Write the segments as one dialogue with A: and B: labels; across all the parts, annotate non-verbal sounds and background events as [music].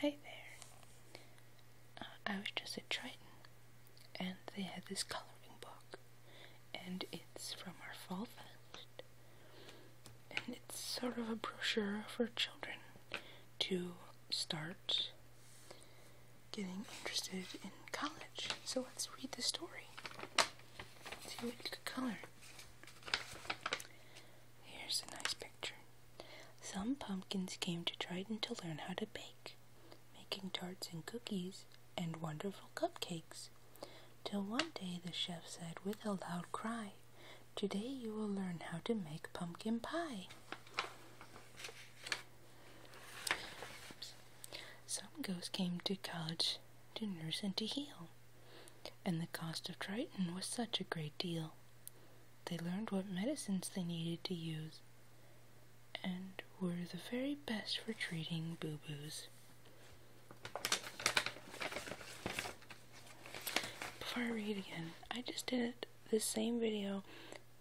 A: Hi there. Uh, I was just at Triton, and they had this coloring book, and it's from our fall fest, and it's sort of a brochure for children to start getting interested in college. So let's read the story. See what you could color. Here's a nice picture. Some pumpkins came to Triton to learn how to bake, making tarts and cookies and wonderful cupcakes. Till one day the chef said with a loud cry, Today you will learn how to make pumpkin pie. Some ghosts came to college to nurse and to heal, and the cost of Triton was such a great deal. They learned what medicines they needed to use and were the very best for treating boo boos. Before I read again, I just did the same video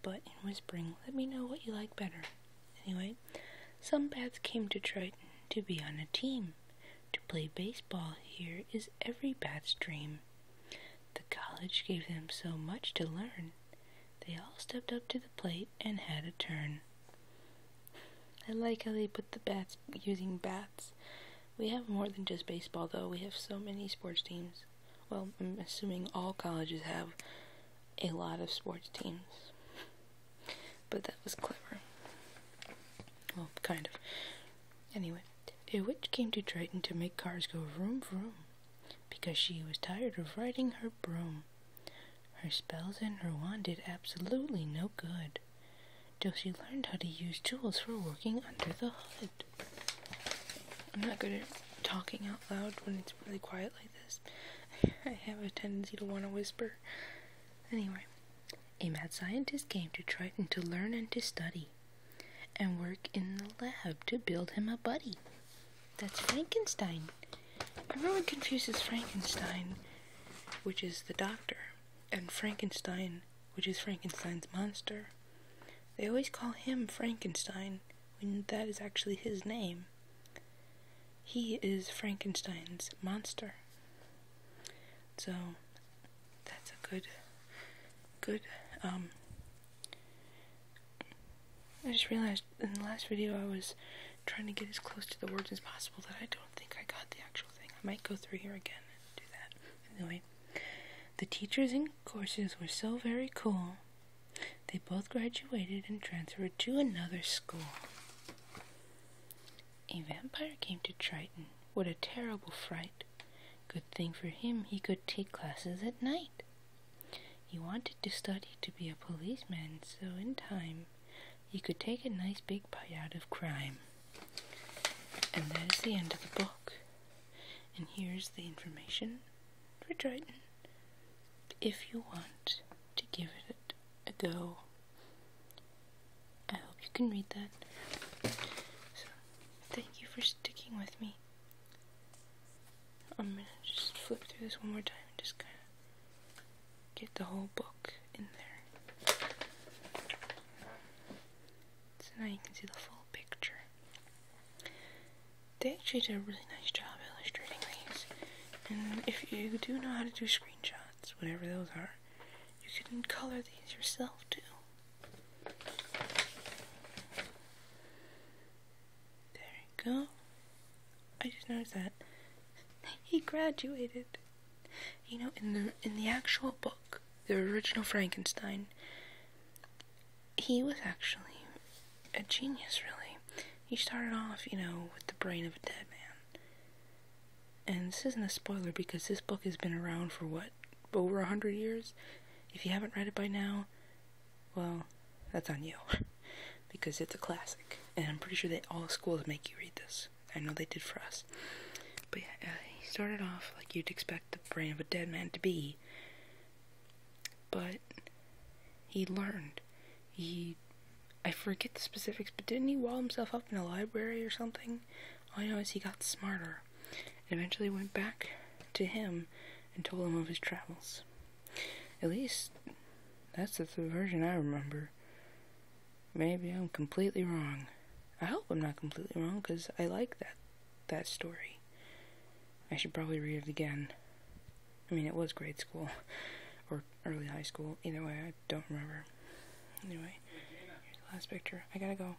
A: but in whispering. Let me know what you like better. Anyway, some bats came to Triton to be on a team. To play baseball here is every bat's dream. The college gave them so much to learn, they all stepped up to the plate and had a turn. I like how they put the bats using bats. We have more than just baseball, though. We have so many sports teams. Well, I'm assuming all colleges have a lot of sports teams. But that was clever. Well, kind of. Anyway. A witch came to Triton to make cars go vroom vroom, because she was tired of riding her broom. Her spells and her wand did absolutely no good, till she learned how to use tools for working under the hood. I'm not good at talking out loud when it's really quiet like this. [laughs] I have a tendency to want to whisper. Anyway, a mad scientist came to Triton to learn and to study and work in the lab to build him a buddy. That's Frankenstein. Everyone confuses Frankenstein, which is the doctor, and Frankenstein, which is Frankenstein's monster. They always call him Frankenstein when that is actually his name. He is Frankenstein's monster. So, that's a good, good, um, I just realized in the last video I was trying to get as close to the words as possible that I don't think I got the actual thing. I might go through here again and do that. Anyway, the teachers and courses were so very cool. They both graduated and transferred to another school. A vampire came to Triton. What a terrible fright. Good thing for him, he could take classes at night. He wanted to study to be a policeman, so in time he could take a nice big bite out of crime. And that is the end of the book. And here's the information for Triton. If you want to give it a go, I hope you can read that. So, Thank you for sticking with me. I'm gonna just flip through this one more time and just kind of get the whole book in there. So now you can see the full picture. They actually did a really nice job illustrating these. And if you do know how to do screenshots, whatever those are, you can color these yourself too. There we go. I just noticed that [laughs] he graduated. You know, in the in the actual book, the original Frankenstein, he was actually a genius. Really, he started off, you know, with the brain of a dead man. And this isn't a spoiler because this book has been around for what over a hundred years? If you haven't read it by now, well, that's on you. [laughs] because it's a classic. And I'm pretty sure that all schools make you read this. I know they did for us. But yeah, uh, he started off like you'd expect the brain of a dead man to be. But he learned. He. I forget the specifics, but didn't he wall himself up in a library or something? All I know is he got smarter and eventually went back to him and told him of his travels. At least that's the version I remember. Maybe I'm completely wrong. I hope I'm not completely wrong because I like that that story. I should probably read it again. I mean, it was grade school [laughs] or early high school. Either way, I don't remember. Anyway, last picture. I gotta go.